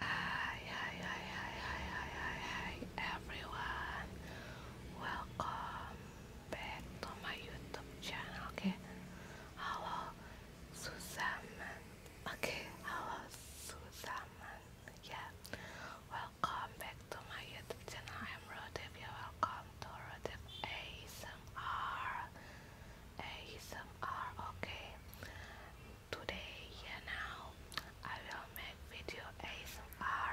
Hi, hi, hi, hi, hi, hi, hi, everyone. Welcome back to my YouTube channel. Okay, hello, Susaman. Okay, hello, Susaman. Yeah, welcome back to my YouTube channel. I'm Rodip. You're welcome to Rodip ASMR. ASMR. Okay, today yeah now I will make video ASMR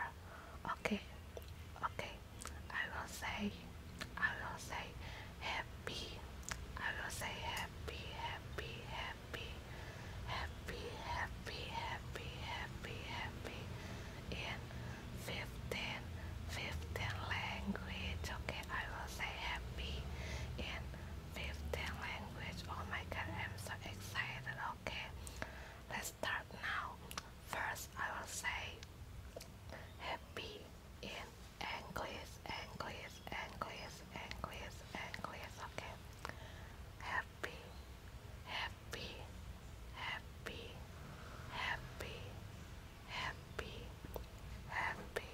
okay okay I will say I will say happy I will say happy happy happy happy happy happy happy happy in 15 15 language okay I will say happy in 15 language. Oh my god, I'm so excited. Okay, let's start now. First, I will say happy in English, English, English, English, English. Okay, happy, happy, happy, happy, happy, happy,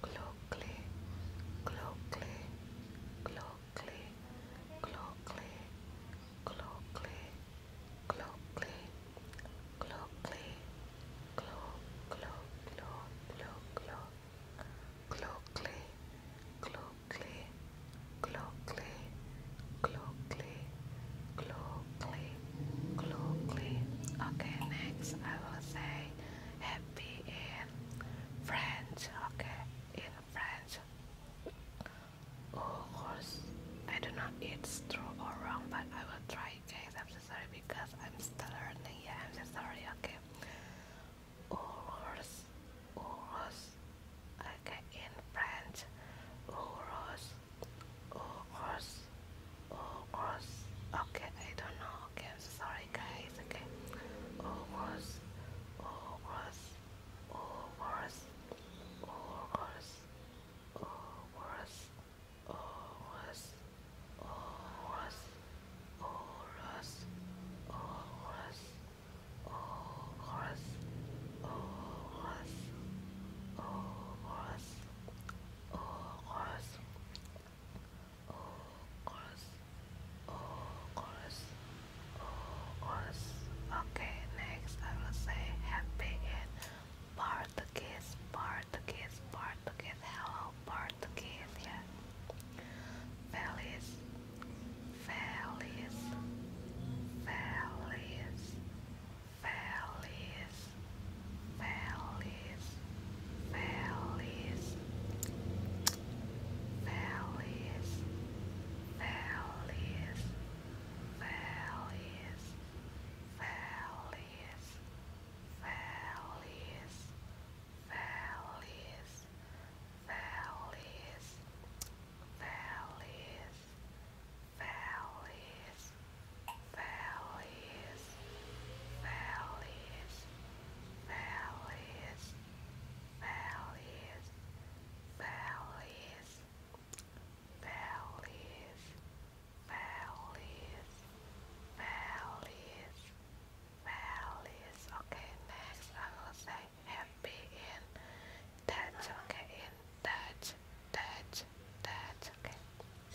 clockly, clockly, clockly, clockly, clockly, clockly, clockly, clock, clock, clock, clock, clock, clockly, clockly, clockly, clockly, clockly, clockly. Okay, next I will say in French, okay? In French. Of I do not eat true or wrong, but I will try, guys. I'm so sorry because I'm still learning. Yeah, I'm so sorry, okay? Urus, urus, okay, in French, urus, urus, Oh, was okay. I don't know. Okay, I'm sorry, guys. Okay. Oh, was oh, was oh, was oh, was oh, was oh, was oh, was oh, was oh, was oh, was oh, was Oh, was, oh, was, oh, oh, chorus, oh, chorus, oh, chorus. Okay, next I will say happy in Portuguese, Portuguese, Portuguese. Hello, Portuguese. Yeah. Feliz, feliz, feliz, feliz valleys, valleys, valleys, valleys, valleys, valleys, valleys, valleys, valleys, valleys, valleys valleys, valleys, valleys, valleys, valleys, valleys, valleys, valleys, valleys. Okay, next I will say happy in Dutch. Okay, in Dutch, Dutch, Dutch. Okay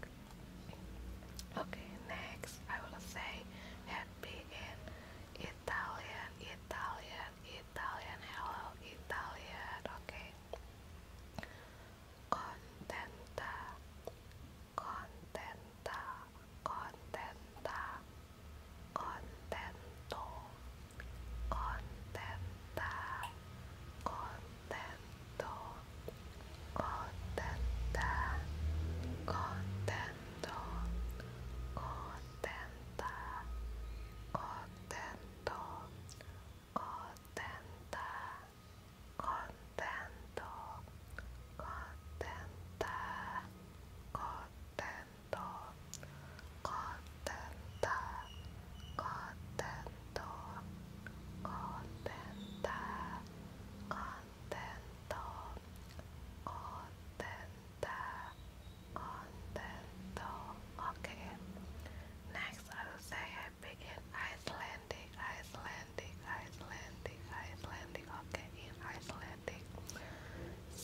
break. Okay, next I will say happy in Italian, Italian, Italian, hello, Italian, okay. Contenta, contenta, contenta, contento, contenta, contento contenta, contento, contenta, contento, contenta, contento, contenta, contento, contenta, contento, contenta, contenta. Contento, contenta, contento. Okay. Next, I will say I begin Icelandic, Icelandic, Icelandic, Icelandic. Okay, in Icelandic.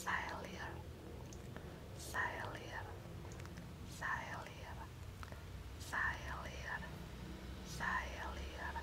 Sælir, sælir, sælir, sælir, sælir,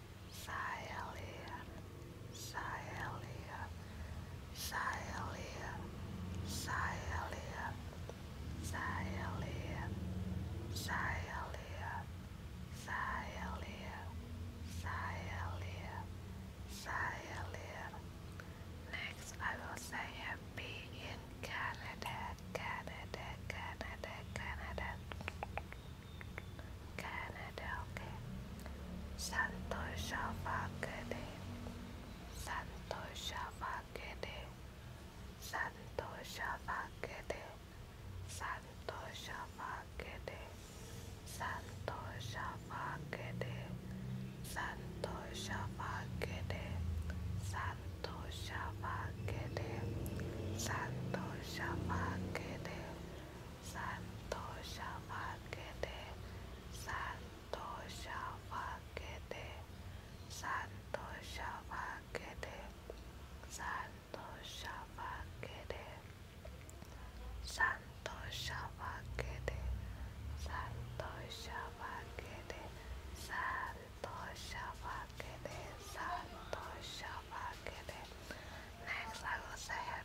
Sialia, Sialia, Sialia, Sialia, Sialia, Sialia, Sialia, Sialia, Sialia. Next, I will say a B in Canada, Canada, Canada, Canada. Canada, Santosha Vakade, Santosha Vakade, Santosha Vakade, Santosha Vakade, Santosha Vakade, Santosha Vakade, Santosha Vakade, Santosha Vakade, Santosha Bhagade, Santosha Bhagade, Santosha Bhagade, Santosha Bhagade, Santosha Bhagade, Santosha Bhagade, Santosha Bhagade, Santosha Bhagade. Next, I will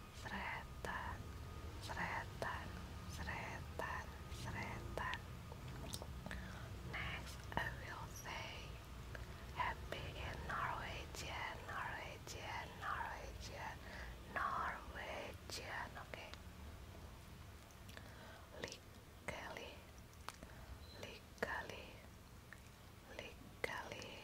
Sreta, sreta, sreta, sreta. Next, I will say happy in Norwegian, Norwegian, Norwegian, Norwegian, okay? Legally, legally, legally,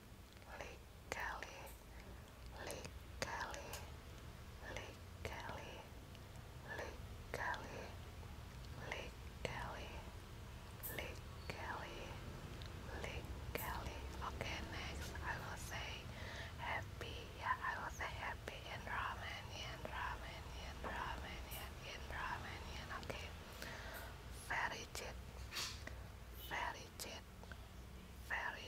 legally, legally, legally, legally, legally, legally, legally. Okay, next I will say happy. Yeah, I will say happy in Romanian, Romanian, Romanian, in Romanian. Okay, very cheap, very cheap, very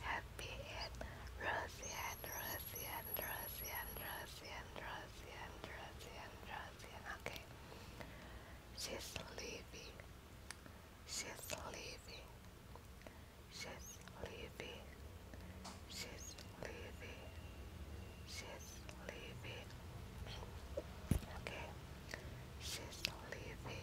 happy and rosy and rosy and rosy and rosy okay. She's leaving. She's leaving. She's leaving. She's leaving. She's leaving. Okay. She's leaving.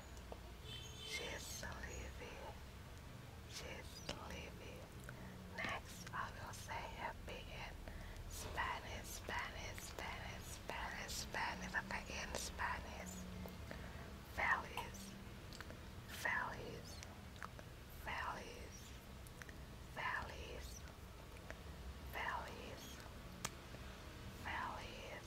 She's leaving. She's leaving. Next, I will say happy in Spanish, Spanish, Spanish, Spanish, Spanish. Okay, in Spanish. Valleys, valleys, valleys, valleys, valleys, valleys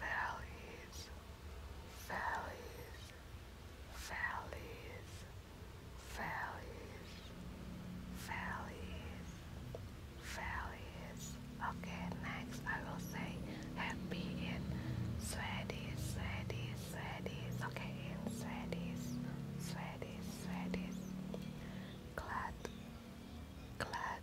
valleys, valleys, valleys, valleys, valleys, valleys. Okay, next I will say happy in Swedish, Swedish, Swedish. Okay, in Swedish, Swedish, Swedish. Glad, glad,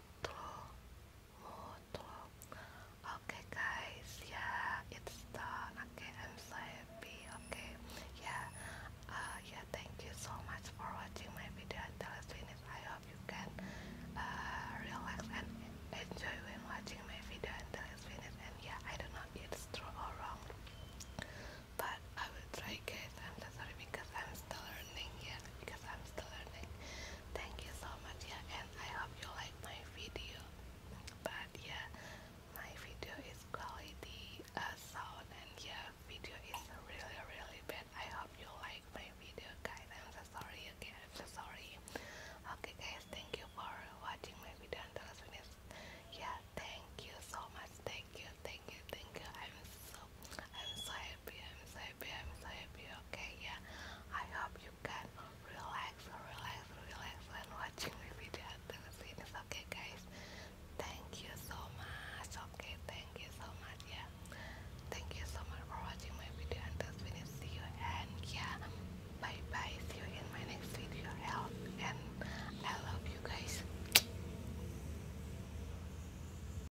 Motlo, Motlo. Okay, guys, yeah, it's done. Okay, I'm so Okay, yeah, uh, yeah, thank you so much for watching my video until it's finished. I hope you can uh, relax and enjoy when watching my video until it's finished. And yeah, I don't get if it's true or wrong, but I will try, guys. I'm so sorry because I'm still learning. Yeah, because I'm still learning. Thank you so much, yeah, and I hope you like my video. But yeah, my video is quality uh, sound, and yeah, video is really really bad. I hope you like my video, guys. I'm so sorry again. I'm so sorry. Okay, guys, thank you for watching my video until the finish. Yeah, thank you so much. Thank you, thank you, thank you. I'm so I'm so happy, I'm so happy, I'm so happy, okay, yeah, I hope you can relax, relax, relax when watching the video until the finish, okay guys, thank you so much, okay, thank you so much, yeah, thank you so much for watching my video until the finish, see you, and yeah, bye bye, see you in my next video, health, and I love you guys.